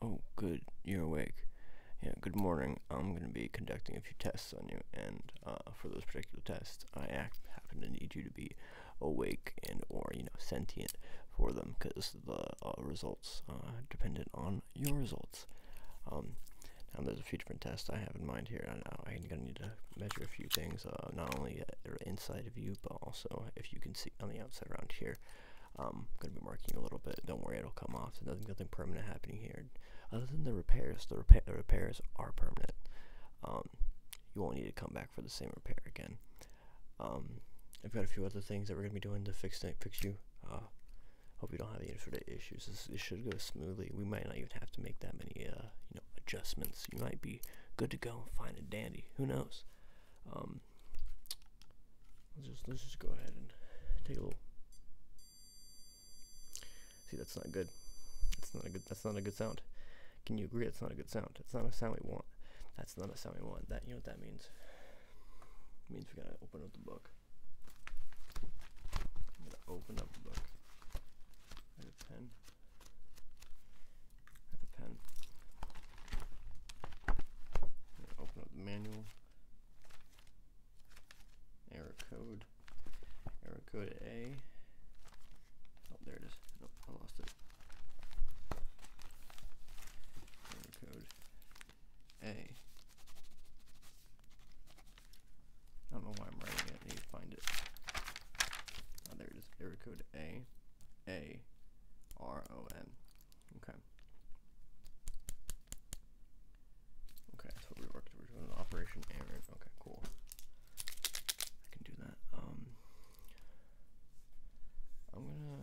Oh, good, you're awake. Yeah, good morning. I'm going to be conducting a few tests on you, and uh, for those particular tests, I happen to need you to be awake and or, you know, sentient for them, because the uh, results are uh, dependent on your results. Um, now, there's a few different tests I have in mind here, I'm going to need to measure a few things, not only inside of you, but also if you can see on the outside around here. I'm um, gonna be marking a little bit. Don't worry, it'll come off. So nothing, nothing permanent happening here. Other than the repairs, the, repairs are permanent. Um, you won't need to come back for the same repair again. Um, I've got a few other things that we're gonna be doing to fix it, fix you. Uh, hope you don't have any sort of issues. This, it should go smoothly. We might not even have to make that many, uh, adjustments. You might be good to go and find a dandy. Who knows? Um, let's just let's just go ahead and take a little. See, that's not good. That's not a good. That's not a good sound. Can you agree? That's not a good sound. It's not a sound we want. That's not a sound we want. That you know what that means? means we gotta open up the book. I'm gonna open up the book. I have a pen open up the manual. Error code. Error code A. Oh, there it is. Nope, I lost it. Error code A. I don't know why I'm writing it. I need to find it. Oh, there it is. Error code A. A R O N. Okay. Okay, that's we are doing an Operation Aaron. Okay, cool. I can do that. Um, I'm gonna.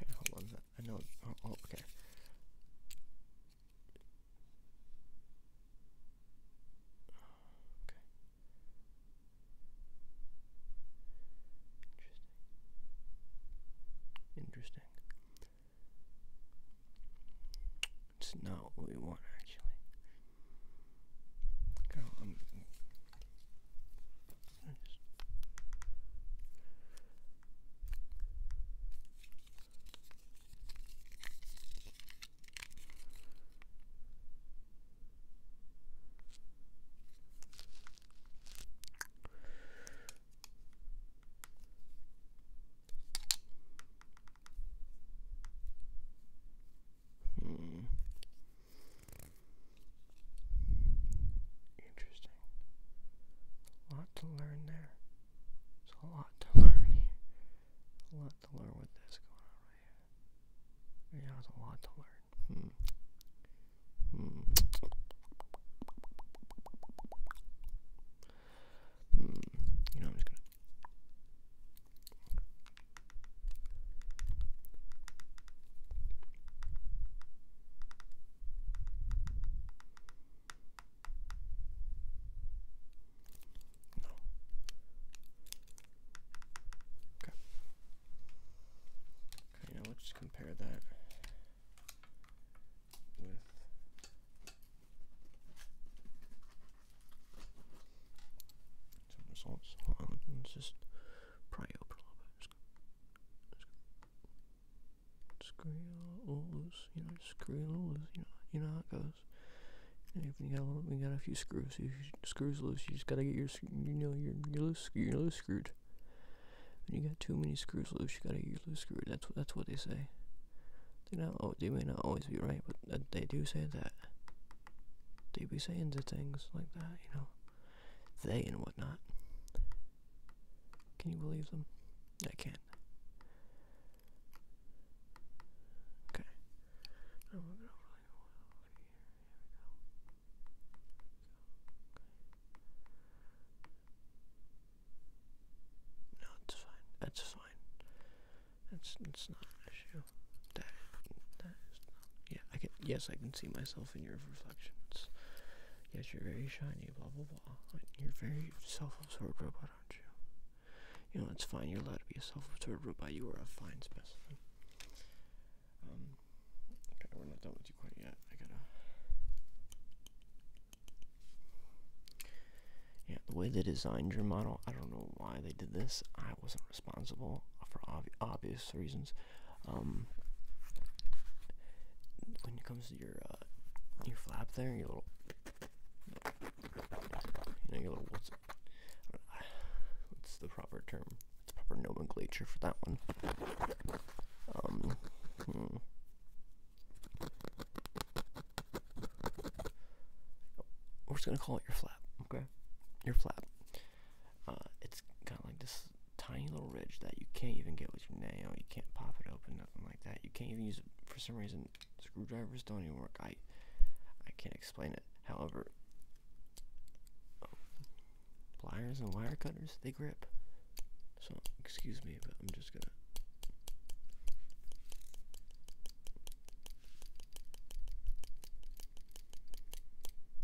Okay, hold on. I know. Oh, oh, okay. Okay. Interesting. Interesting. It's not what we want, actually. Okay, um, I'm, just Hmm. Interesting. A lot to learn there. There's a lot to learn A lot to learn with this going on right a lot to learn. Hmm. Hmm. You know, I'm just gonna. Okay. Okay, now let's compare that with just pry open a little bit. Just, just screw all loose, you know, just screw loose, you know, you know how it goes if you got a got a few screws. screws loose, you just gotta get your you know your your loose your loose screwed. When you got too many screws loose, you gotta loose screw. That's what that's what they say. They not oh they may not always be right, but they do say that. They be saying to things like that, you know. They and whatnot. Can you believe them? I can't. Okay. No, it's fine. That's fine. That's that's not an issue. That that is not. Yeah, I can. Yes, I can see myself in your reflections. Yes, you're very shiny. Blah blah blah. You're very self-absorbed robot, aren't you? You know, it's fine. You're allowed to be a self-absorbed robot. You are a fine specimen. Um, okay, we're not done with you quite yet. I gotta. Yeah, the way they designed your model, I don't know why they did this. I wasn't responsible for obvious reasons. Um, when it comes to your uh, your flap there, your little you know, your little what's the proper term? What's proper nomenclature for that one? Um. Hmm. We're just gonna call it your flap, okay? Your flap. Uh, it's got like this tiny little ridge that you can't even get with your nail. You can't pop it open, nothing like that. You can't even use it for some reason screwdrivers don't even work. I I can't explain it. However, pliers and wire cutters they grip. So excuse me, but I'm just gonna.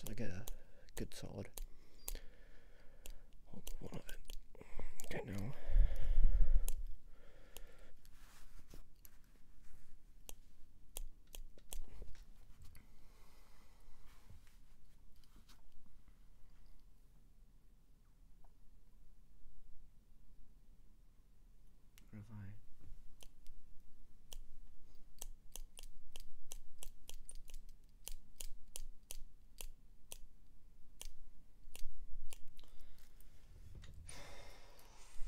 So I get a good solid Hold the one of it. Okay, now. I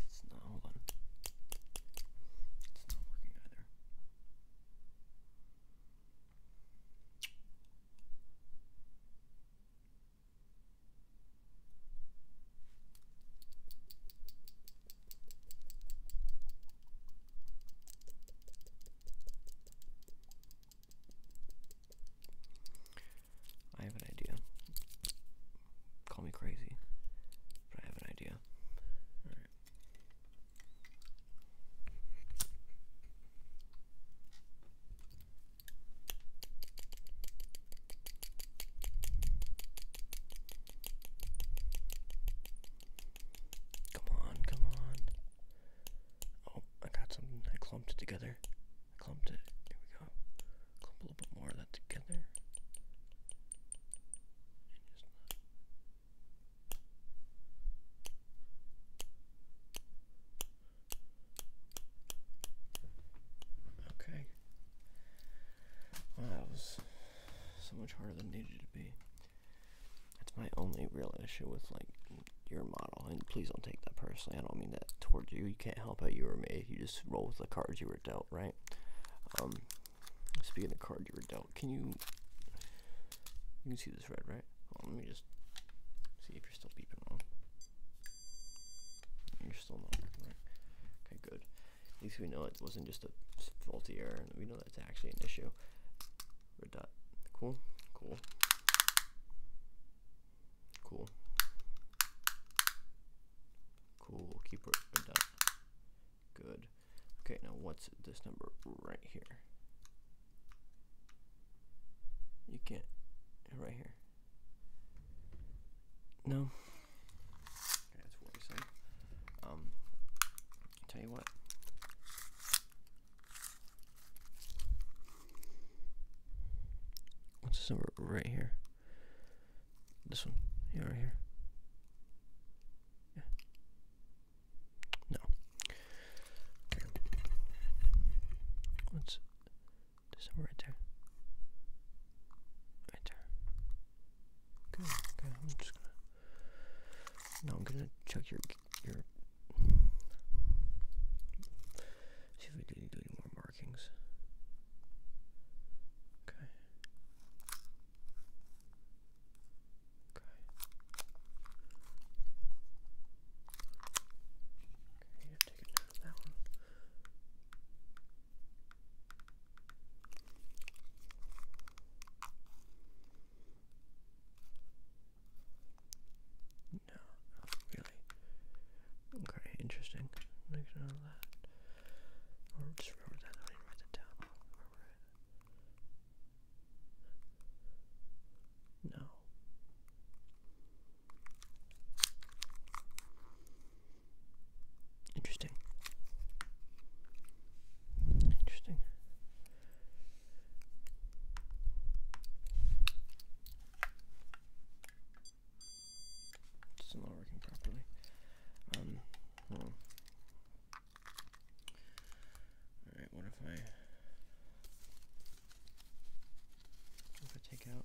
it's not, hold on. It's not working either. I have an idea. Call me crazy, but I have an idea. Come on, come on. Oh, I got something. I clumped it together. I clumped it. Here we go. Clump a little bit more of that together. Okay. that was so much harder than needed to be. That's my only real issue with like your model. And please don't take that personally. I don't mean that towards you. You can't help how you were made. You just roll with the cards you were dealt, right? Um, speaking of cards you were dealt, can you you can see this red, right? Well, let me just see if you're still beeping wrong. You're still not Okay, good. At least we know it wasn't just a faulty error, we know that's actually an issue. Red dot. Cool. Cool. Cool. Cool. Keep red dot. Good. Okay, now what's this number right here? You can't. Right here. No. Okay, that's worrisome. Um, tell you what. What's this number right here? This one. Yeah, right here. Yeah. No. Okay. What's this number right there? Right there. Good. Okay, I'm just gonna. Now I'm gonna check your See if we do do any more markings. Okay. Okay. Okay, you have taken note of that one. No, not really. Okay, interesting. Make sure of that. Or just remember that, I did down. No. Interesting. Interesting. It's not working properly. Um, Alright, what if I. if I take out.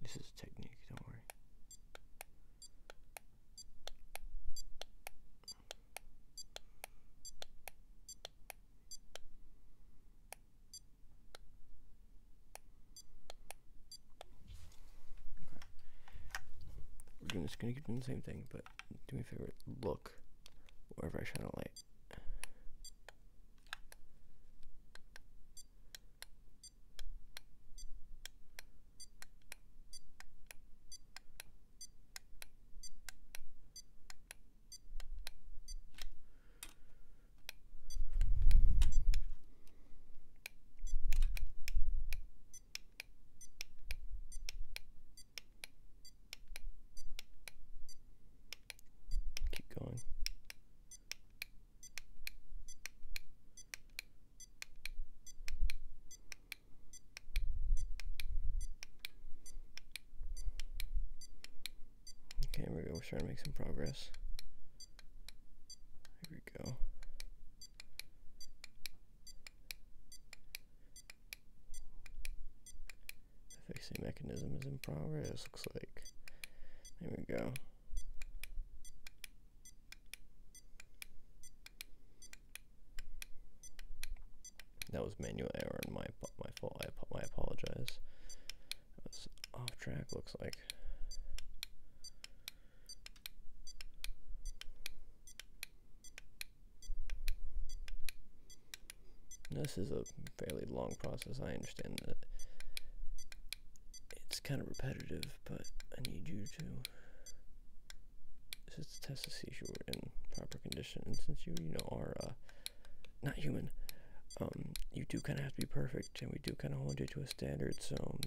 This is a technique, don't worry. We're just gonna keep the same thing, but do me a favor, look wherever I shine a light. Keep going. Okay, we go. We're starting to make some progress. Here we go. The fixing mechanism is in progress, looks like. There we go. That was manual error and my my fault. I, ap I apologize. off track. Looks like. This is a fairly long process. I understand that it's kind of repetitive, but I need you to. This is to test to see if you are in proper condition. And since you, you know, are uh, not human, um, you do kind of have to be perfect, and we do kind of hold you to a standard. So um,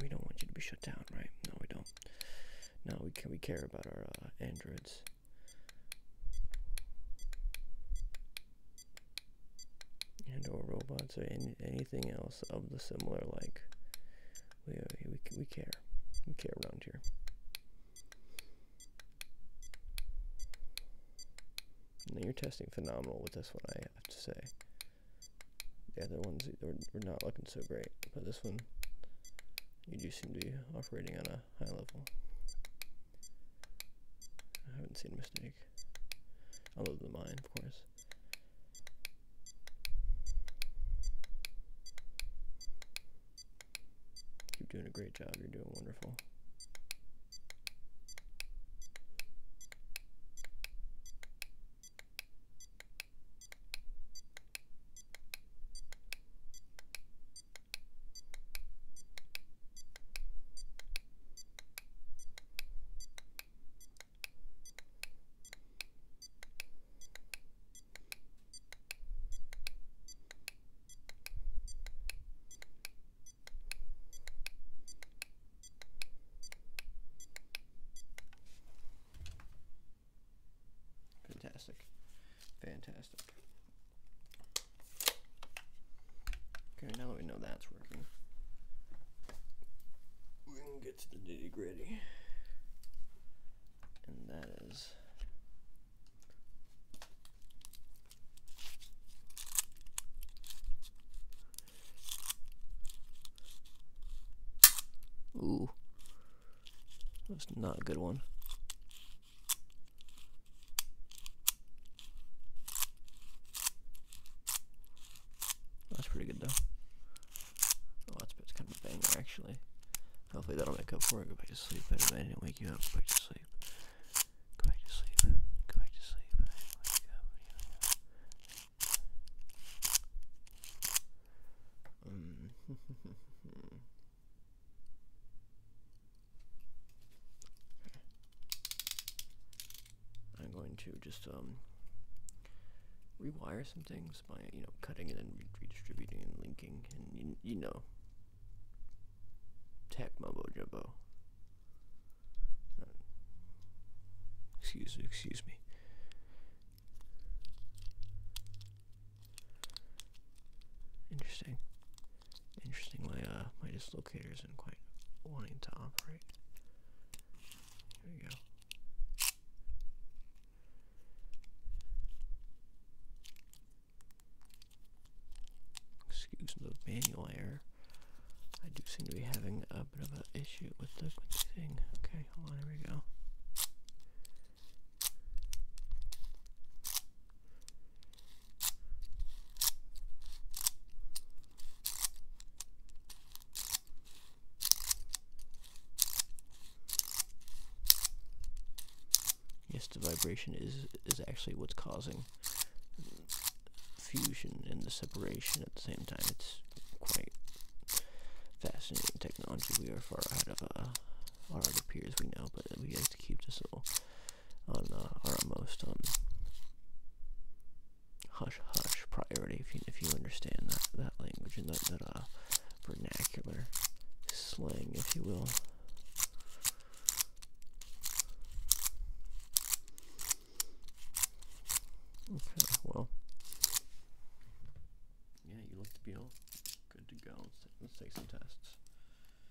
we don't want you to be shut down, right? No, we don't. No, we We care about our uh, androids and or robots or anything else of the similar like we, we, we care we care around here now you're testing phenomenal with this one I have to say the other ones were, were not looking so great but this one you do seem to be operating on a high level I haven't seen a mistake. Other than mine, of course. Keep doing a great job, you're doing wonderful. Fantastic. Fantastic. Okay, now that we know that's working, we can get to the nitty gritty. And that is. Ooh. That's not a good one. That's pretty good though. Oh, that's, that's kind of a banger actually. Hopefully that'll make up for it. Go back to sleep. I didn't wake you up. Go back to sleep. Go back to sleep. Go back to sleep. wake mm. up. I'm going to just um, rewire some things by you know cutting and redistributing and linking and you, you know tech mumbo jumbo. Uh, excuse me, excuse me. Interesting. Interestingly, uh, my, dislocator isn't quite wanting to operate. Here we go. Excuse the manual error. I do seem to be having a bit of an issue with the, thing. Okay, hold on, here we go. Yes, the vibration is is actually what's causing fusion and the separation at the same time. It's quite fascinating technology. We are far ahead of uh, our peers we know, but we keep this little on uh, our most um, hush hush priority if you if you understand that that language and that that uh, vernacular slang if you will. Okay, well. Yeah, you look to be all good to go. let's take some tests.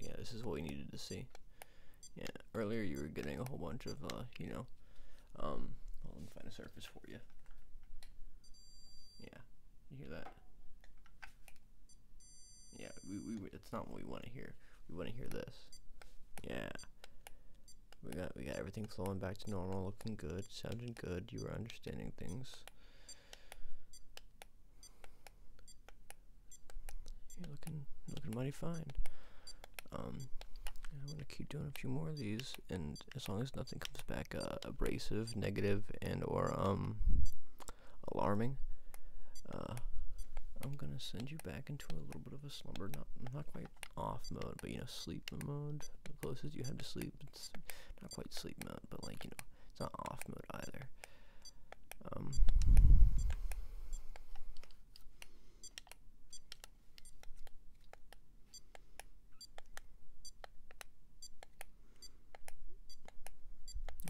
Yeah, this is what we needed to see. Yeah, earlier you were getting a whole bunch of, uh, you know, um, well, let find a surface for you. Yeah, you hear that? Yeah, we, we, it's not what we want to hear. We want to hear this. Yeah. We got, we got everything flowing back to normal, looking good, sounding good, you were understanding things. You're looking, looking mighty fine. Um, I'm gonna keep doing a few more of these, and as long as nothing comes back uh, abrasive, negative, and or um, alarming, uh, I'm gonna send you back into a little bit of a slumber, not not quite off mode, but you know, sleep mode. The closest you have to sleep, it's not quite sleep mode, but like you know, it's not off mode either. Um,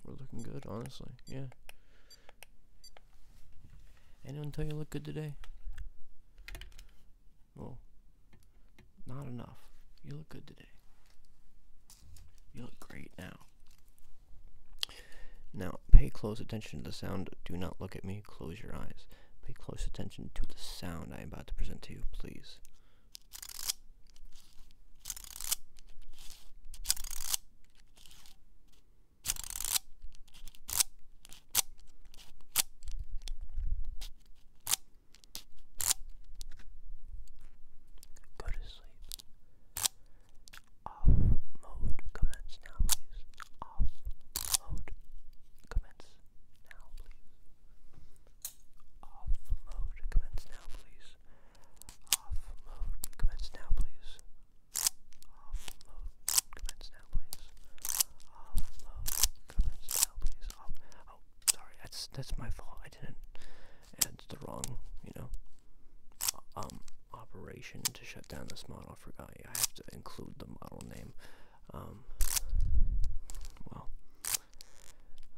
we're looking good, honestly. Yeah. Anyone tell you look good today? Well, not enough. You look good today. You look great now. Now, pay close attention to the sound. Do not look at me. Close your eyes. Pay close attention to the sound I am about to present to you, please. Go to sleep. Off mode commence now, please. Off mode commence now, please. Off mode commence now, please. Off mode commence now, please. Off mode commence now, please. Off mode commence now, please. Off Oh, sorry, that's that's my fault. I didn't. add the wrong, you know, um, operation to shut down this model. I forgot. I have to include the model name. Um, well,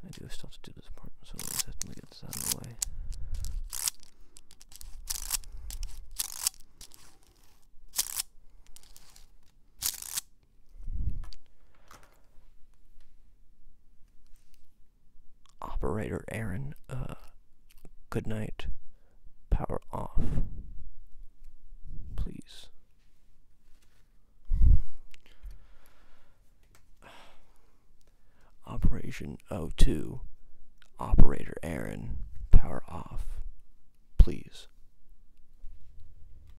I do still have to do this part, so let's definitely get this out of the way. Operator Aaron, uh, good night. Power off. Please. Operation O2. Operator Aaron, power off. Please.